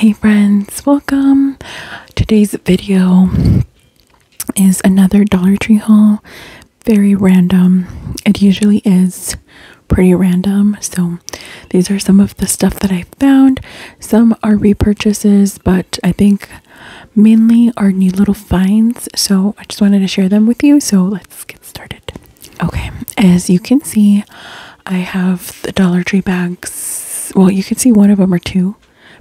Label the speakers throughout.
Speaker 1: Hey friends, welcome. Today's video is another Dollar Tree haul. Very random. It usually is pretty random. So, these are some of the stuff that I found. Some are repurchases, but I think mainly are new little finds. So, I just wanted to share them with you. So, let's get started. Okay, as you can see, I have the Dollar Tree bags. Well, you can see one of them or two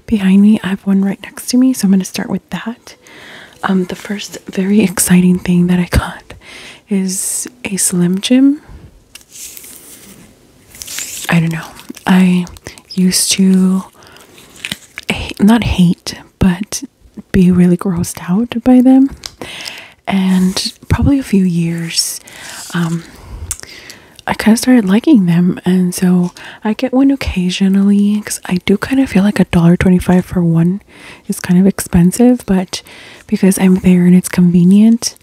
Speaker 1: behind me. I have one right next to me, so I'm going to start with that. Um, the first very exciting thing that I got is a Slim Jim. I don't know. I used to not hate, but be really grossed out by them and probably a few years, um, I kind of started liking them, and so I get one occasionally because I do kind of feel like a dollar twenty-five for one is kind of expensive, but because I'm there and it's convenient,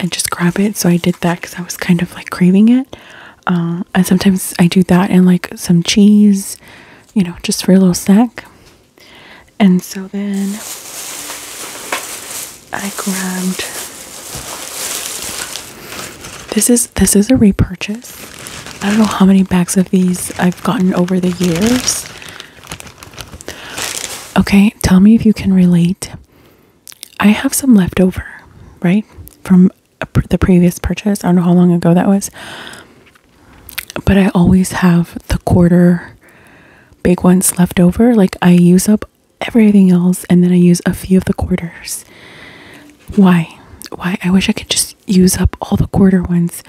Speaker 1: I just grab it. So I did that because I was kind of like craving it, uh, and sometimes I do that and like some cheese, you know, just for a little snack. And so then I grabbed this is this is a repurchase. I don't know how many bags of these I've gotten over the years. Okay, tell me if you can relate. I have some left over, right? From the previous purchase. I don't know how long ago that was. But I always have the quarter big ones left over. Like I use up everything else and then I use a few of the quarters. Why? Why? I wish I could just use up all the quarter ones.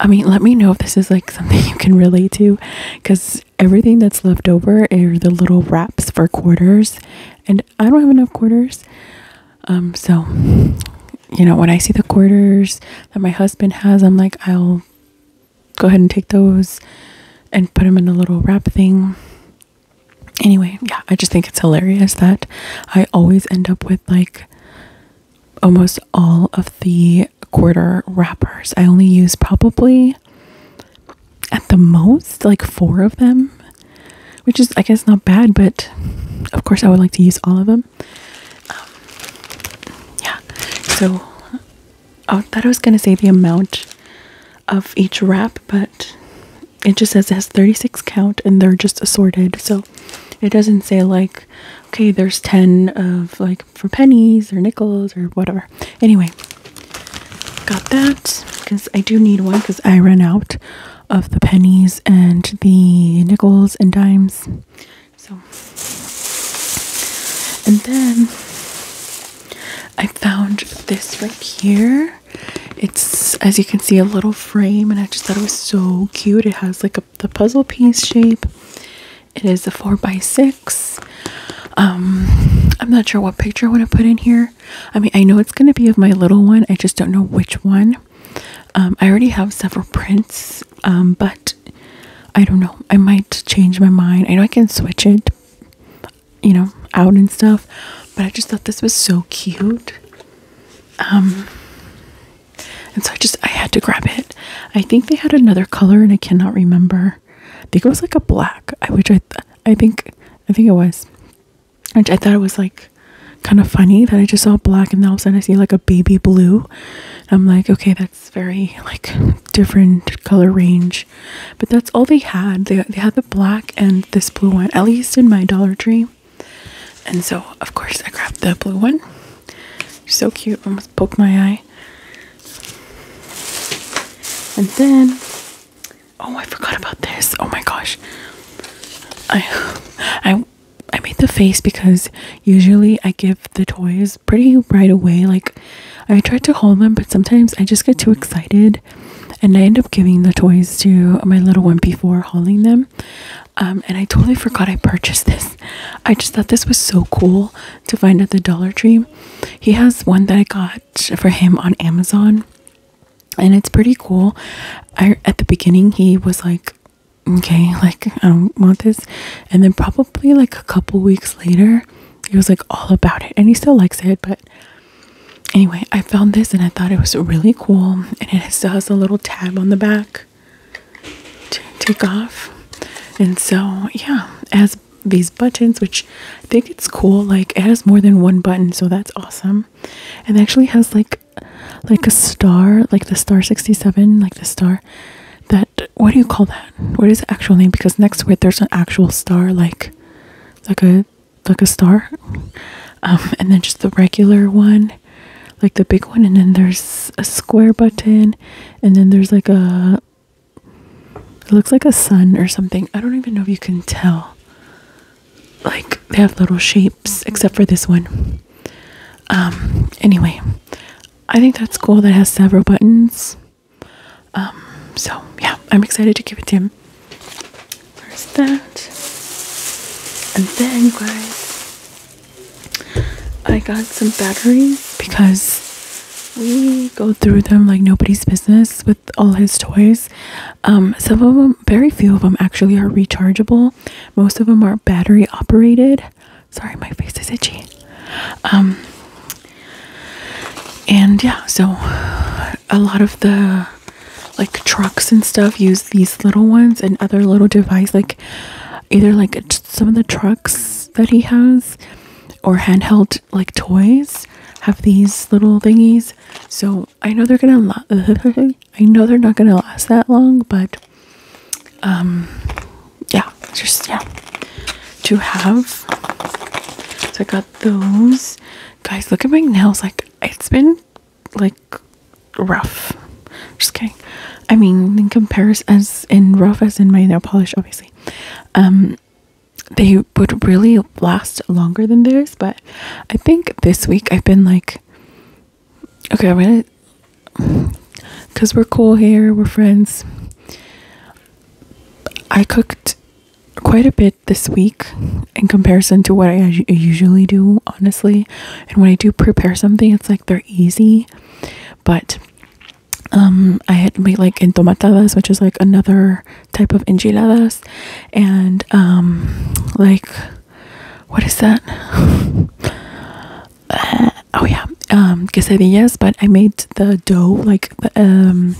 Speaker 1: I mean, let me know if this is like something you can relate to because everything that's left over are the little wraps for quarters, and I don't have enough quarters. Um, so you know, when I see the quarters that my husband has, I'm like, I'll go ahead and take those and put them in a little wrap thing. Anyway, yeah, I just think it's hilarious that I always end up with like almost all of the quarter wrappers. I only use probably at the most like four of them, which is, I guess, not bad, but of course, I would like to use all of them. Um, yeah, so Oh, I thought I was going to say the amount of each wrap, but it just says it has 36 count and they're just assorted. So it doesn't say like, okay, there's 10 of like for pennies or nickels or whatever. Anyway, got that because I do need one because I ran out of the pennies and the nickels and dimes. So and then I found this right here. It's as you can see a little frame and I just thought it was so cute. It has like a the puzzle piece shape. It is a four by six. Um, I'm not sure what picture I want to put in here. I mean I know it's gonna be of my little one. I just don't know which one. Um, I already have several prints um, but I don't know. I might change my mind. I know I can switch it, you know, out and stuff, but I just thought this was so cute. Um and so I just I had to grab it. I think they had another color and I cannot remember. I think it was like a black. I which I I think I think it was. Which I thought it was like kind of funny that I just saw black and then all of a sudden I see like a baby blue. I'm like, okay, it's very like different color range, but that's all they had. They they had the black and this blue one, at least in my Dollar Tree. And so of course I grabbed the blue one. So cute, almost poked my eye. And then oh I forgot about this. Oh my gosh. I I I made the face because usually I give the toys pretty right away. Like, I tried to hold them, but sometimes I just get too excited and I end up giving the toys to my little one before hauling them. Um, and I totally forgot I purchased this. I just thought this was so cool to find at the Dollar Tree. He has one that I got for him on Amazon, and it's pretty cool. I at the beginning he was like, "Okay, like I don't want this," and then probably like a couple weeks later, he was like all about it and he still likes it, but anyway, I found this and I thought it was really cool. And it still has a little tab on the back to take off. And so, yeah, has these buttons, which I think it's cool. Like it has more than one button, so that's awesome. And actually has like like a star, like the star 67, like the star that what do you call that? What is the actual name? Because next to it there's an actual star like like a like a star. Um, and then just the regular one, like the big one, and then there's a square button, and then there's like a it looks like a sun or something. I don't even know if you can tell. Like they have little shapes except for this one. Um anyway, I think that's cool that has several buttons. Um, so yeah, I'm excited to give it to him. There's that. And then guys, I got some batteries because we go through them like nobody's business with all his toys. Um, some of them, very few of them actually are rechargeable. Most of them are battery operated. Sorry, my face is itchy. Um, and yeah, so a lot of the like trucks and stuff use these little ones and other little device like either like some of the trucks that he has or handheld like toys have these little thingies. So I know they're gonna I know they're not gonna last that long, but um yeah, just yeah, to have. So I got those. Guys, look at my nails. Like it's been like rough. Just kidding. I mean, in comparison, as in rough as in my nail polish, obviously. Um, they would really last longer than theirs, but I think this week I've been like, okay, I'm gonna, because we're cool here, we're friends. I cooked quite a bit this week in comparison to what I usually do, honestly. And when I do prepare something, it's like they're easy, but um, I had made like entomatadas, which is like another type of enchiladas, and um, like what is that? Uh, oh yeah um quesadillas but i made the dough like the, um,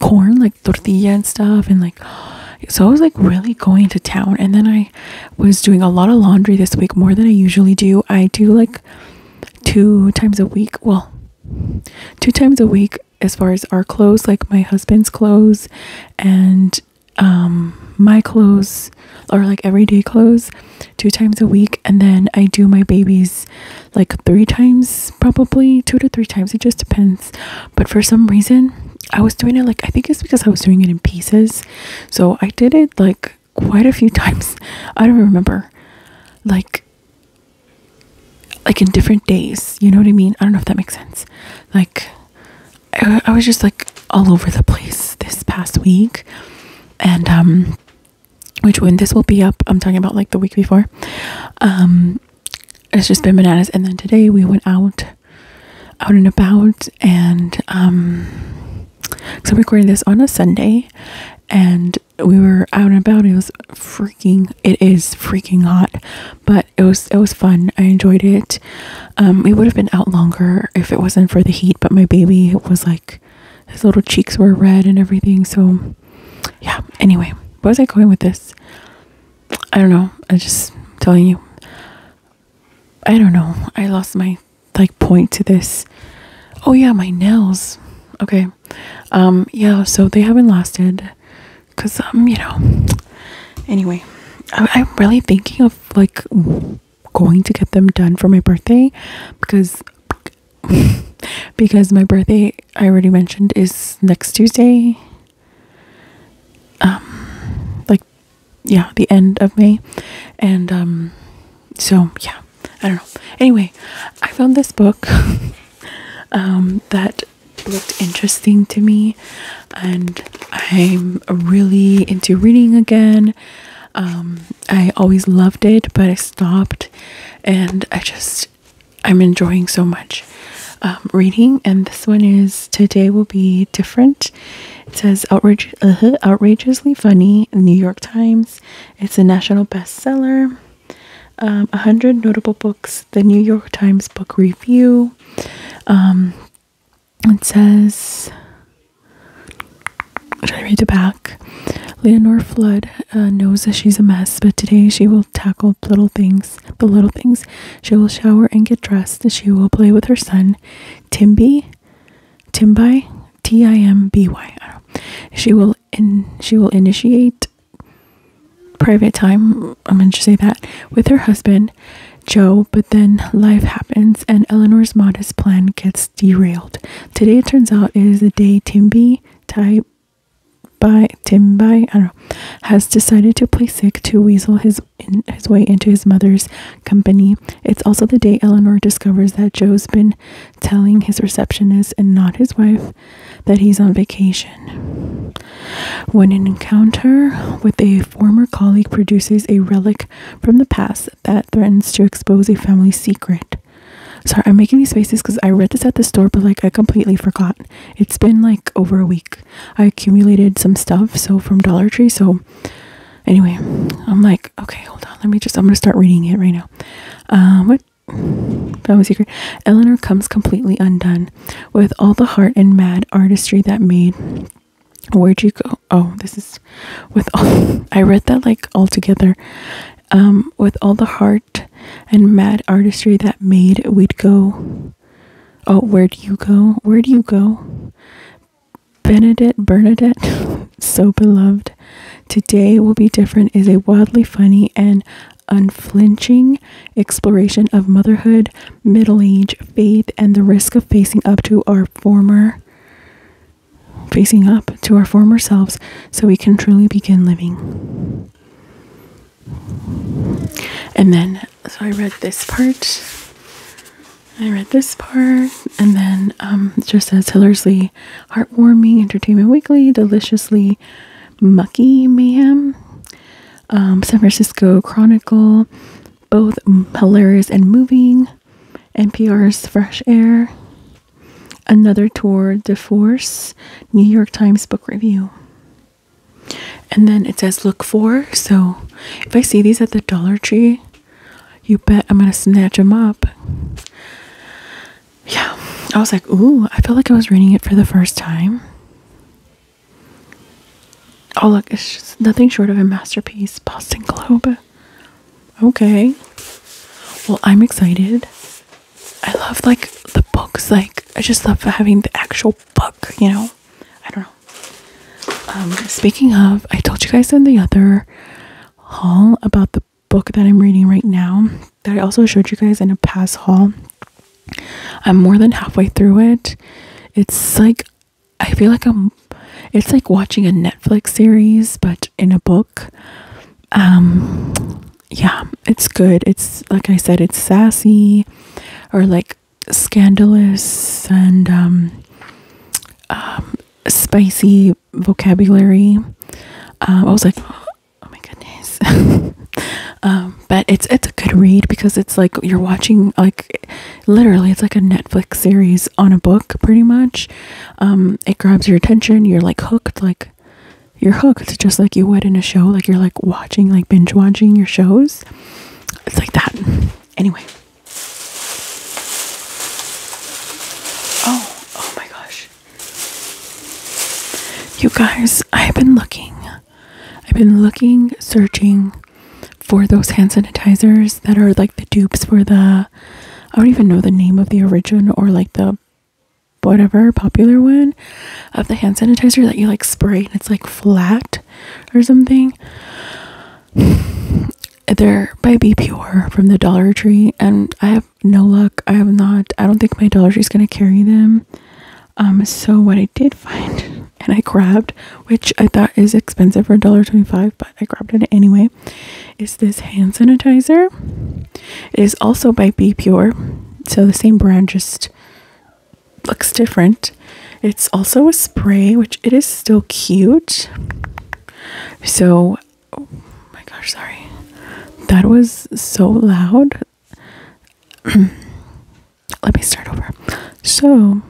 Speaker 1: corn like tortilla and stuff and like so i was like really going to town and then i was doing a lot of laundry this week more than i usually do i do like two times a week well two times a week as far as our clothes like my husband's clothes and um, my clothes or like everyday clothes two times a week and then I do my babies like three times probably two to three times it just depends but for some reason I was doing it like I think it's because I was doing it in pieces so I did it like quite a few times I don't remember like like in different days you know what I mean I don't know if that makes sense like I, I was just like all over the place this past week and um which when this will be up, I'm talking about like the week before. Um, it's just been bananas. And then today we went out, out and about, and um, so I'm recording this on a Sunday, and we were out and about. It was freaking. It is freaking hot, but it was it was fun. I enjoyed it. Um, we would have been out longer if it wasn't for the heat, but my baby it was like his little cheeks were red and everything. So, yeah. Anyway, where was I going with this? I don't know. I am just telling you. I don't know. I lost my like point to this. Oh yeah, my nails. Okay. Um yeah, so they haven't lasted cuz um you know. Anyway, I'm really thinking of like going to get them done for my birthday because because my birthday, I already mentioned, is next Tuesday. Um, like, yeah, the end of May. And, um, so yeah, I don't know. Anyway, I found this book, um, that looked interesting to me and I'm really into reading again. Um, I always loved it, but I stopped and I just I'm enjoying so much um, reading and this one is today will be different it says uh-huh, outrageously funny New York Times it's a national bestseller um, 100 notable books the New York Times book review um, it says should I read it back? Eleanor Flood uh, knows that she's a mess, but today she will tackle little things, the little things. She will shower and get dressed, she will play with her son, Timby, Timby, T-I-M-B-Y. She will she will initiate private time. I'm going to say that with her husband, Joe. But then life happens, and Eleanor's modest plan gets derailed. Today, it turns out, is the day Timby type by Timby, I don't know, has decided to play sick to weasel his his way into his mother's company. It's also the day Eleanor discovers that Joe's been telling his receptionist and not his wife that he's on vacation. When an encounter with a former colleague produces a relic from the past that threatens to expose a family secret. Sorry, I'm making these faces because I read this at the store, but like I completely forgot. It's been like over a week. I accumulated some stuff so from Dollar Tree. So anyway, I'm like, okay, hold on. Let me just. I'm gonna start reading it right now. Uh, what? That was secret. Eleanor comes completely undone, with all the heart and mad artistry that made. Where'd you go? Oh, this is with all. I read that like all together. Um, with all the heart and mad artistry that made we'd go. Oh, where do you go? where do you go? Benedict Bernadette, so beloved. Today will be different is a wildly funny and unflinching exploration of motherhood, middle age, faith, and the risk of facing up to our former facing up to our former selves so we can truly begin living. And then, so I read this part. I read this part, and then um, just as Hillersley, heartwarming, entertainment weekly, deliciously mucky mayhem, um, San Francisco Chronicle, both hilarious and moving, NPR's fresh air, Another Tour de Force, New York Times Book Review. And then it says look for. So if I see these at the Dollar Tree, you bet I'm going to snatch them up. Yeah. I was like, ooh, I feel like I was reading it for the first time. Oh, look, it's nothing short of a masterpiece. Boston Globe. Okay. Well, I'm excited. I love like the books. Like I just love having the actual book. You know, I don't know. Um, speaking of, I told you guys in the other haul about the book that I'm reading right now that I also showed you guys in a past haul. I'm more than halfway through it. It's like I feel like I'm. It's like watching a Netflix series, but in a book. Um, yeah, it's good. It's like I said, it's sassy or like scandalous and um, um spicy vocabulary. Um, I was like, oh my goodness. um, but it's it's a good read because it's like you're watching like literally it's like a Netflix series on a book pretty much. Um, it grabs your attention. You're like hooked. Like you're hooked just like you would in a show like you're like watching like binge watching your shows it's like that anyway oh oh my gosh you guys i've been looking i've been looking searching for those hand sanitizers that are like the dupes for the i don't even know the name of the original or like the whatever popular one of the hand sanitizer that you like spray and it's like flat or something. They're by Be Pure from the Dollar Tree, and I have no luck. I have not. I don't think my Dollar Tree is gonna carry them. Um, so what I did find, and I grabbed, which I thought is expensive for a dollar twenty five, but I grabbed it anyway, is this hand sanitizer. It is also by B Pure, so the same brand just looks different. It's also a spray, which it is still cute. So, oh my gosh, sorry. That was so loud. Let me start over. So,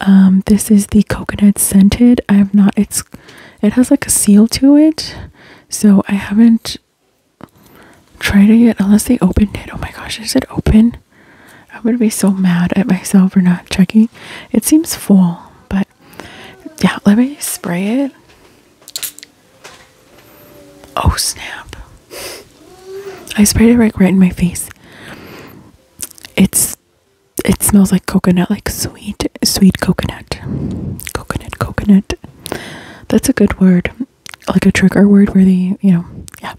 Speaker 1: um, this is the coconut scented. I have not, it's, it has like a seal to it. So I haven't tried it yet unless they opened it. Oh my gosh, is it open? I would be so mad at myself for not checking. It seems full, but yeah, let me spray it. Oh snap. I sprayed it like right in my face. It's it smells like coconut, like sweet, sweet coconut. Coconut, coconut. That's a good word, like a trigger word, where the you know, yeah.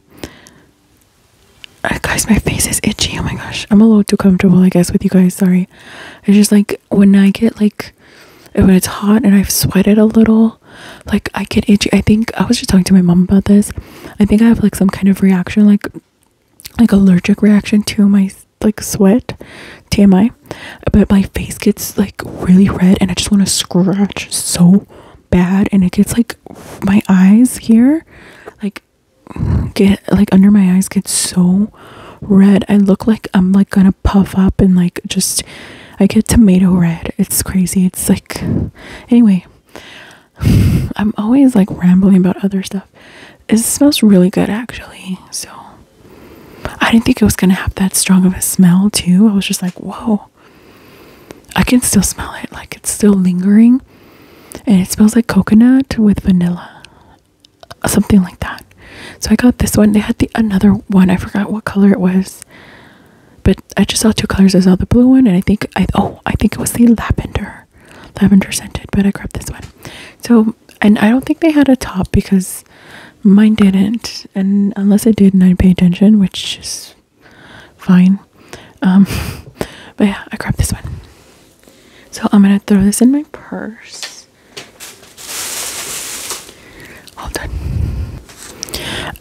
Speaker 1: Uh, guys, my face is itchy. Oh my gosh, I'm a little too comfortable, I guess, with you guys. Sorry. It's just like when I get like when it's hot and I've sweated a little, like I get itchy. I think I was just talking to my mom about this. I think I have like some kind of reaction, like like allergic reaction to my like sweat, TMI, but my face gets like really red and I just want to scratch so bad and it gets like my eyes here like get like under my eyes get so red. I look like I'm like gonna puff up and like just I get tomato red. It's crazy. It's like anyway, I'm always like rambling about other stuff. It smells really good actually. So I didn't think it was gonna have that strong of a smell too. I was just like, whoa. I can still smell it, like it's still lingering. And it smells like coconut with vanilla. Something like that. So I got this one. They had the another one. I forgot what color it was. But I just saw two colors. I saw the blue one and I think I oh I think it was the lavender. Lavender scented, but I grabbed this one. So and I don't think they had a top because Mine didn't, and unless it did, and I pay attention, which is fine. Um, but yeah, I grabbed this one. So I'm gonna throw this in my purse. All done.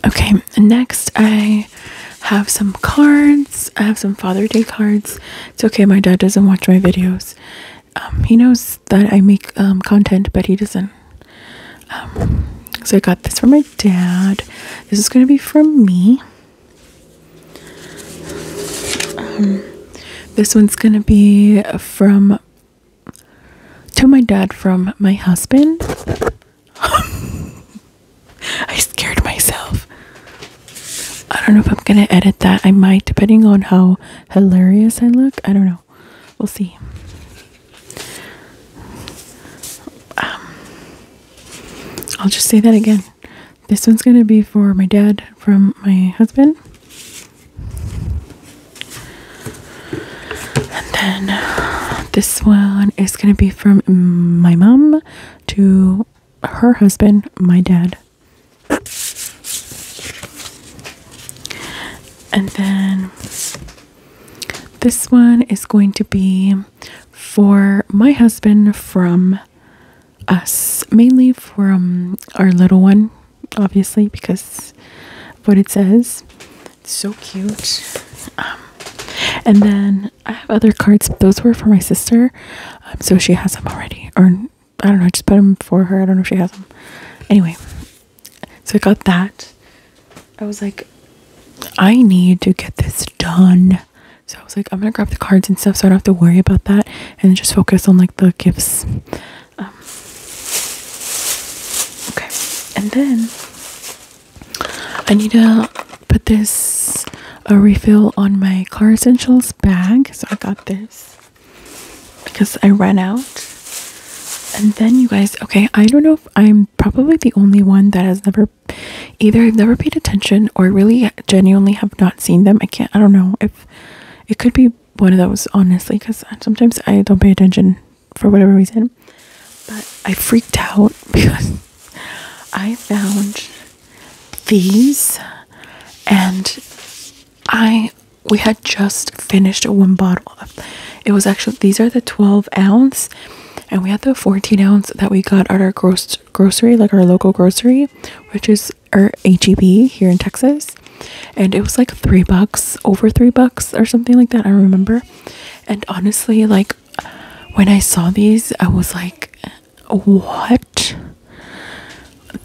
Speaker 1: Okay, next I have some cards. I have some Father Day cards. It's okay, my dad doesn't watch my videos. Um, he knows that I make um, content, but he doesn't. Um, so I got this from my dad. This is gonna be from me. Um, this one's gonna be from to my dad from my husband. I scared myself. I don't know if I'm gonna edit that. I might, depending on how hilarious I look. I don't know. We'll see. Um, I'll just say that again. This one's going to be for my dad from my husband. And then this one is going to be from my mom to her husband, my dad. And then this one is going to be for my husband from us, mainly from our little one, obviously, because what it says. It's so cute. Um, and then I have other cards. Those were for my sister, um, so she has them already, or I don't know, I just put them for her. I don't know if she has them. Anyway, so I got that. I was like, I need to get this done. So I was like, I'm gonna grab the cards and stuff so I don't have to worry about that and just focus on like the gifts. Um, okay, and then I need to put this a refill on my car essentials bag. So I got this because I ran out. And then you guys, okay, I don't know if I'm probably the only one that has never either I've never paid attention or really genuinely have not seen them. I can't I don't know if it could be one of those honestly cuz sometimes I don't pay attention for whatever reason. But I freaked out because I found these and I we had just finished one bottle. It was actually these are the 12 ounce, and we had the 14 ounce that we got at our gross grocery, like our local grocery, which is our HEB here in Texas. And it was like three bucks, over three bucks or something like that. I remember. And honestly, like when I saw these, I was like, what?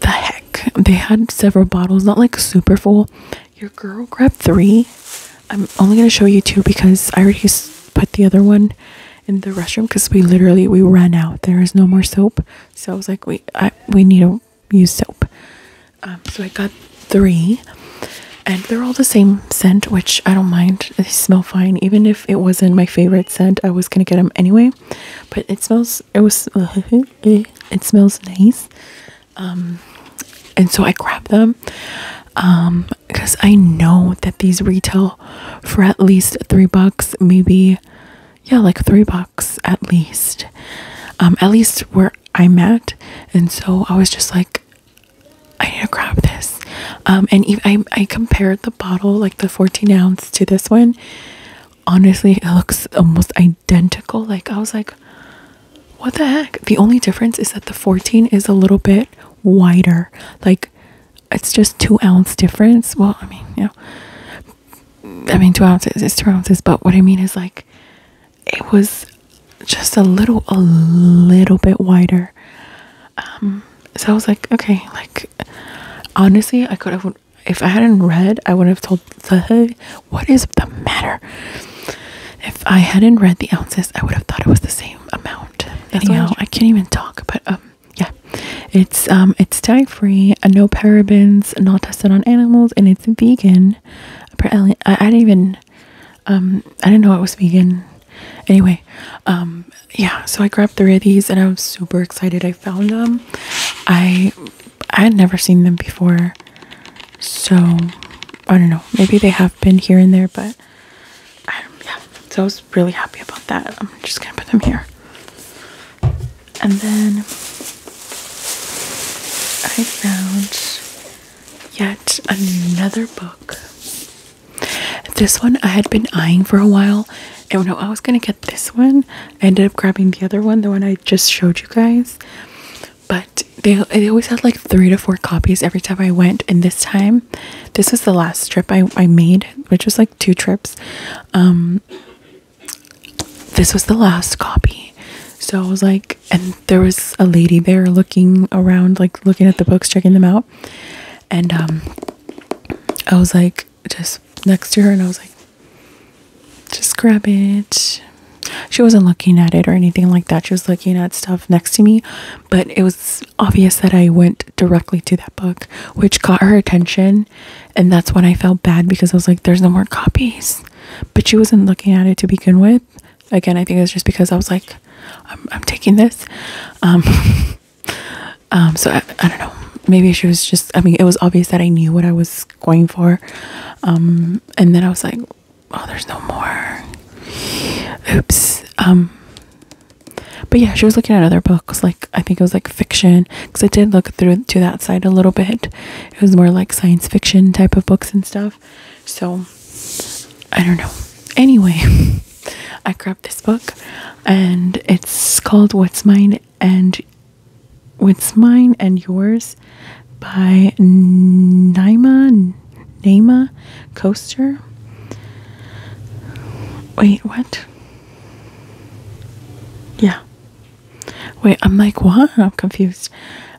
Speaker 1: the heck? They had several bottles, not like super full. Your girl grabbed three. I'm only gonna show you two because I already put the other one in the restroom because we literally we ran out. There is no more soap, so I was like, we I we need to use soap. Um, so I got three, and they're all the same scent, which I don't mind. They smell fine, even if it wasn't my favorite scent. I was gonna get them anyway, but it smells it was it smells nice um, and so i grabbed them because um, i know that these retail for at least three bucks maybe yeah like three bucks at least um, at least where i'm at and so i was just like i need to grab this and I, I compared the bottle like the 14 ounce to this one honestly it looks almost identical like i was like what the heck the only difference is that the 14 is a little bit wider like it's just two ounce difference well i mean yeah. i mean two ounces is two ounces but what i mean is like it was just a little a little bit wider um so i was like okay like honestly i could have if I hadn't read, I would have told the what is the matter. If I hadn't read the ounces, I would have thought it was the same amount. That's Anyhow, I can't even talk, but um yeah. It's um it's dye free, uh, no parabens, not tested on animals, and it's vegan. Apparently I, I didn't even um I didn't know it was vegan. Anyway, um yeah, so I grabbed three of these and I was super excited. I found them. I I had never seen them before. So I don't know. Maybe they have been here and there, but I, yeah. So I was really happy about that. I'm just gonna put them here. And then I found yet another book. This one I had been eyeing for a while. And when I was gonna get this one, I ended up grabbing the other one, the one I just showed you guys. But they, they always had like three to four copies every time I went. And this time, this was the last trip I, I made, which was like two trips. Um, this was the last copy. So I was like, and there was a lady there looking around, like looking at the books, checking them out. And um, I was like, just next to her, and I was like, just grab it. She wasn't looking at it or anything like that. She was looking at stuff next to me, but it was obvious that I went directly to that book, which caught her attention. And that's when I felt bad because I was like, there's no more copies. But she wasn't looking at it to begin with. Again, I think it's just because I was like, I'm, taking this. Um, um, so I don't know. Maybe she was just, I mean, it was obvious that I knew what I was going for. Um, and then I was like, oh, there's no more. Oops. Um, but yeah, she was looking at other books, like I think it was like fiction, because I did look through to that side a little bit. It was more like science fiction type of books and stuff. So I don't know. Anyway, I grabbed this book, and it's called "What's Mine and what's mine and yours by Naima Naima Coaster. Wait, what? Yeah. Wait, I'm like, what? I'm confused.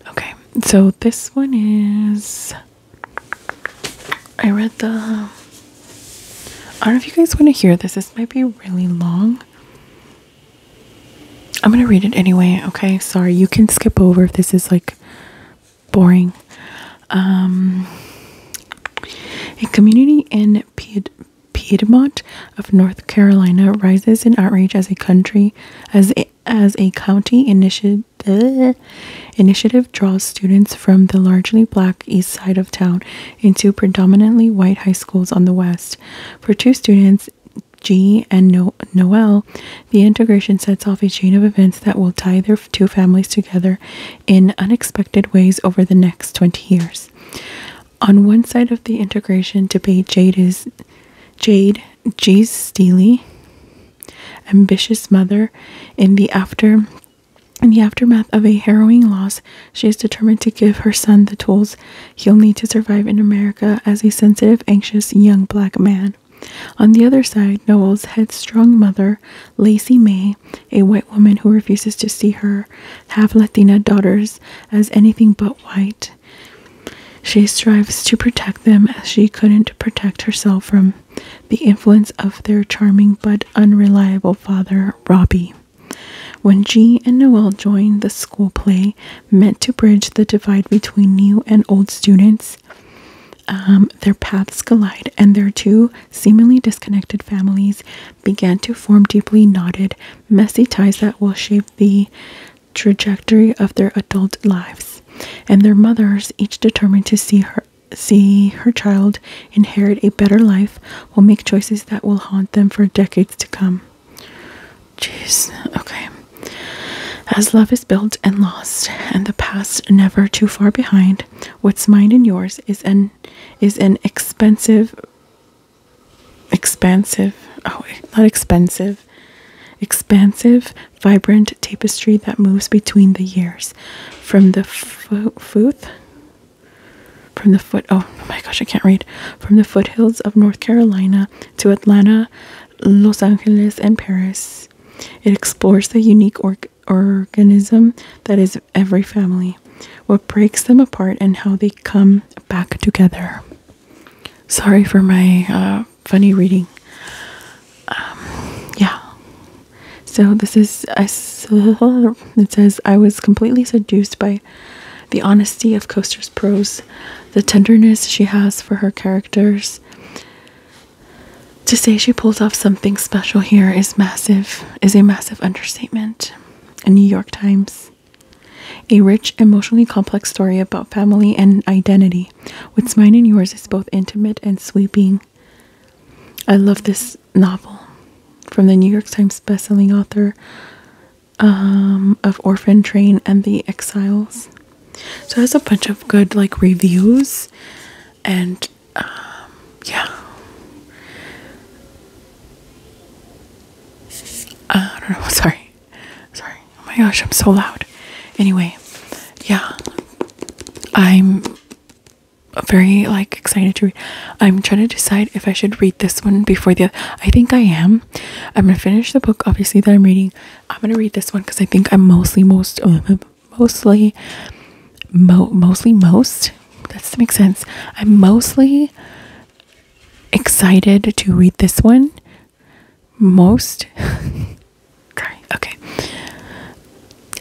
Speaker 1: Okay, so this one is. I read the. I don't know if you guys want to hear this. This might be really long. I'm going to read it anyway, okay? Sorry, you can skip over if this is like boring. Um, a community in Pied Piedmont of North Carolina rises in outrage as a country as a, county initiative uh, initiative draws students from the largely black east side of town into predominantly white high schools on the west. For two students, G and Noel, the integration sets off a chain of events that will tie their two families together in unexpected ways over the next 20 years. On one side of the integration debate, Jade is Jade G. Steely, ambitious mother, in the after in the aftermath of a harrowing loss, she is determined to give her son the tools He'll need to survive in America as a sensitive, anxious young black man. On the other side, Noel's headstrong mother, Lacey May, a white woman who refuses to see her have Latina daughters as anything but white. She strives to protect them as she couldn't protect herself from the influence of their charming but unreliable father, Robbie. When G and Noel join the school play, meant to bridge the divide between new and old students. Um, their paths collide, and their two seemingly disconnected families begin to form deeply knotted, messy ties that will shape the trajectory of their adult lives. And their mothers, each determined to see her see her child inherit a better life, will make choices that will haunt them for decades to come. Jeez, okay. As love is built and lost, and the past never too far behind, what's mine and yours is an is an expensive expansive oh not expensive expansive vibrant tapestry that moves between the years from the foot from the foot oh, oh my gosh i can't read from the foothills of North Carolina to Atlanta, Los Angeles, and Paris. It explores the unique organism that is every family, what breaks them apart, and how they come back together. Sorry for my uh, funny reading. Um, yeah. So this is, I, it says, I was completely seduced by the honesty of Coaster's prose, the tenderness she has for her characters. To say she pulls off something special here is massive, is a massive understatement. A New York Times. A rich, emotionally complex story about family and identity. What's mine and yours is both intimate and sweeping. I love this novel from the New York Times bestselling author um, of Orphan Train and The Exiles. So it has a bunch of good like reviews, and um, yeah, I don't know. Sorry, sorry. Oh my gosh, I'm so loud. Anyway, yeah, I'm very like excited to read. I'm trying to decide if I should read this one before the I think I am I'm gonna finish the book obviously that I'm reading. I'm gonna read this one because I think I'm mostly most uh, mostly mo mostly most that's to make sense. I'm mostly excited to read this one. Most okay, okay.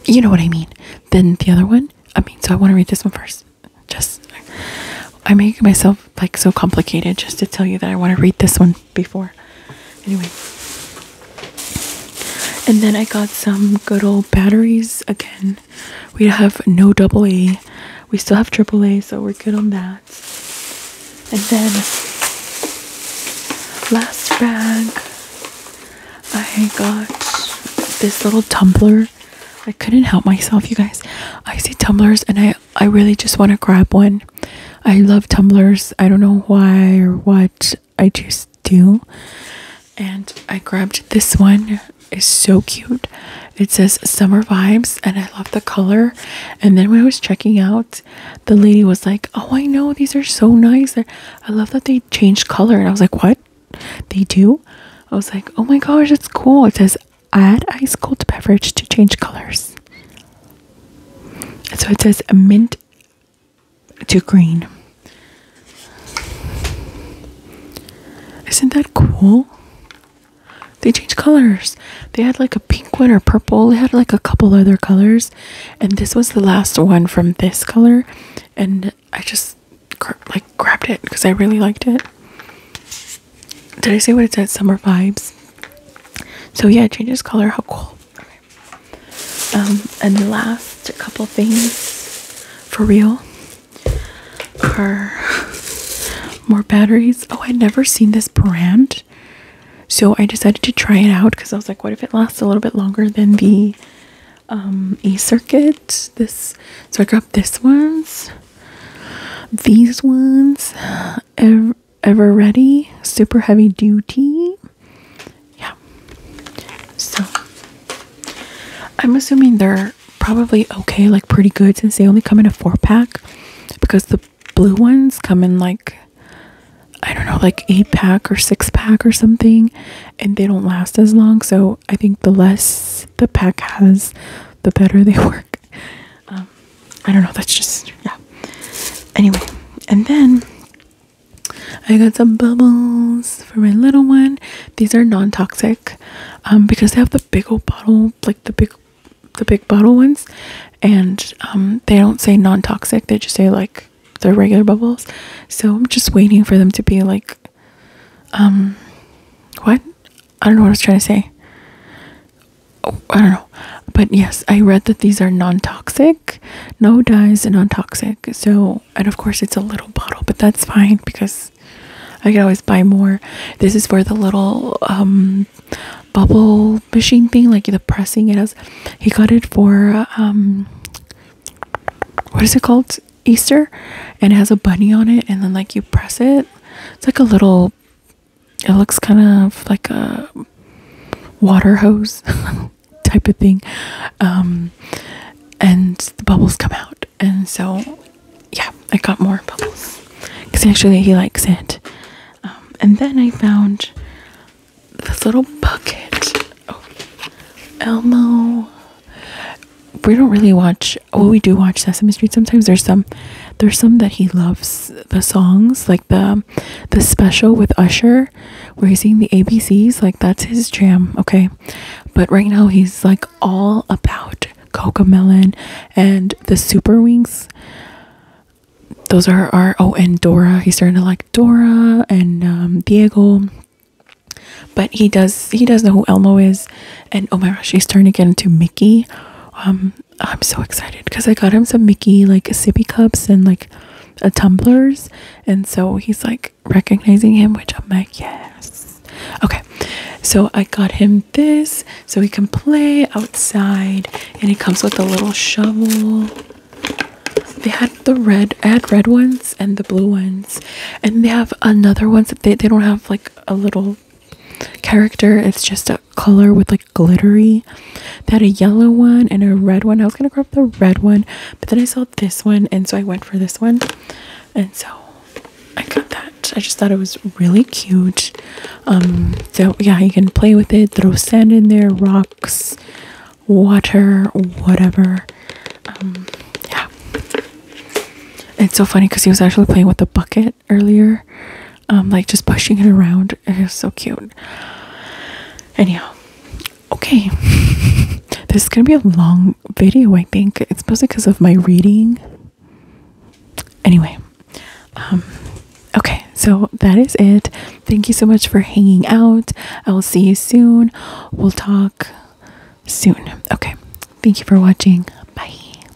Speaker 1: You know what I mean. Then the other one. I mean, so I want to read this one first. Just I make myself like so complicated just to tell you that I want to read this one before. Anyway. And then I got some good old batteries again. We have no double A. We still have triple A, so we're good on that. And then last bag I got this little tumbler. I couldn't help myself, you guys. I see tumblers and I I really just want to grab one. I love tumblers. I don't know why or what. I just do. And I grabbed this one. It's so cute. It says summer vibes and I love the color. And then when I was checking out, the lady was like, "Oh, I know these are so nice. I love that they changed color." And I was like, "What? They do?" I was like, "Oh my gosh, it's cool." It says Add ice cold beverage to change colors. So it says mint to green. Isn't that cool? They change colors. They had like a pink one or purple. They had like a couple other colors. And this was the last one from this color. And I just like grabbed it because I really liked it. Did I say what it said? Summer vibes. So yeah, it changes color. How cool. Um, and the last couple things for real are more batteries. Oh, I'd never seen this brand. So I decided to try it out because I was like, what if it lasts a little bit longer than the um, A circuit? This so I grabbed this one's these ones, ever, ready, super heavy duty. Yeah. So I'm assuming they're probably okay, like pretty good, since they only come in a four pack. Because the blue ones come in like I don't know, like eight pack or six pack or something, and they don't last as long. So I think the less the pack has, the better they work. Um, I don't know. That's just yeah. Anyway, and then I got some bubbles for my little one. These are non-toxic um, because they have the big old bottle, like the big, the big bottle ones, and um, they don't say non-toxic. They just say like the regular bubbles. So I'm just waiting for them to be like, um, what? I don't know what I was trying to say. Oh, I don't know. But yes, I read that these are non toxic, no dyes, and non toxic. So, and of course, it's a little bottle, but that's fine because I can always buy more. This is for the little um, bubble machine thing, like the pressing it has. He got it for um, what is it called? Easter, and it has a bunny on it, and then like you press it. It's like a little it looks kind of like a water hose type of thing. Um, and the bubbles come out. And so, yeah, I got more bubbles because actually he likes it. Um, and then I found this little bucket. Oh, Elmo. We don't really watch well oh, we do watch Sesame Street sometimes. There's some there's some that he loves the songs, like the the special with Usher where he's seeing the ABCs, like that's his jam, okay? But right now he's like all about Coca Melon and the Super Wings. Those are our oh and Dora. He's starting to like Dora and um, Diego but he does he does know who Elmo is and oh my gosh he's starting to get into Mickey um, I'm so excited because I got him some Mickey like sippy cups and like a tumblers, and so he's like recognizing him, which I'm like, yes. Okay, so I got him this so he can play outside, and it comes with a little shovel. They had the red, had red ones and the blue ones, and they have another ones that they, they don't have like a little character, it's just a color with like glittery. They had a yellow one and a red one. I was gonna grab the red one, but then I saw this one, and so I went for this one. And so I got that. I just thought it was really cute. Um, so yeah, you can play with it, throw sand in there, rocks, water, whatever. Um, yeah, it's so funny because he was actually playing with the bucket earlier, um, like just pushing it around. It was so cute. Anyhow, okay, this is gonna be a long video. I think it's mostly because of my reading. Anyway, um, okay, so that is it. Thank you so much for hanging out. I will see you soon. We'll talk soon. Okay. Thank you for watching. Bye.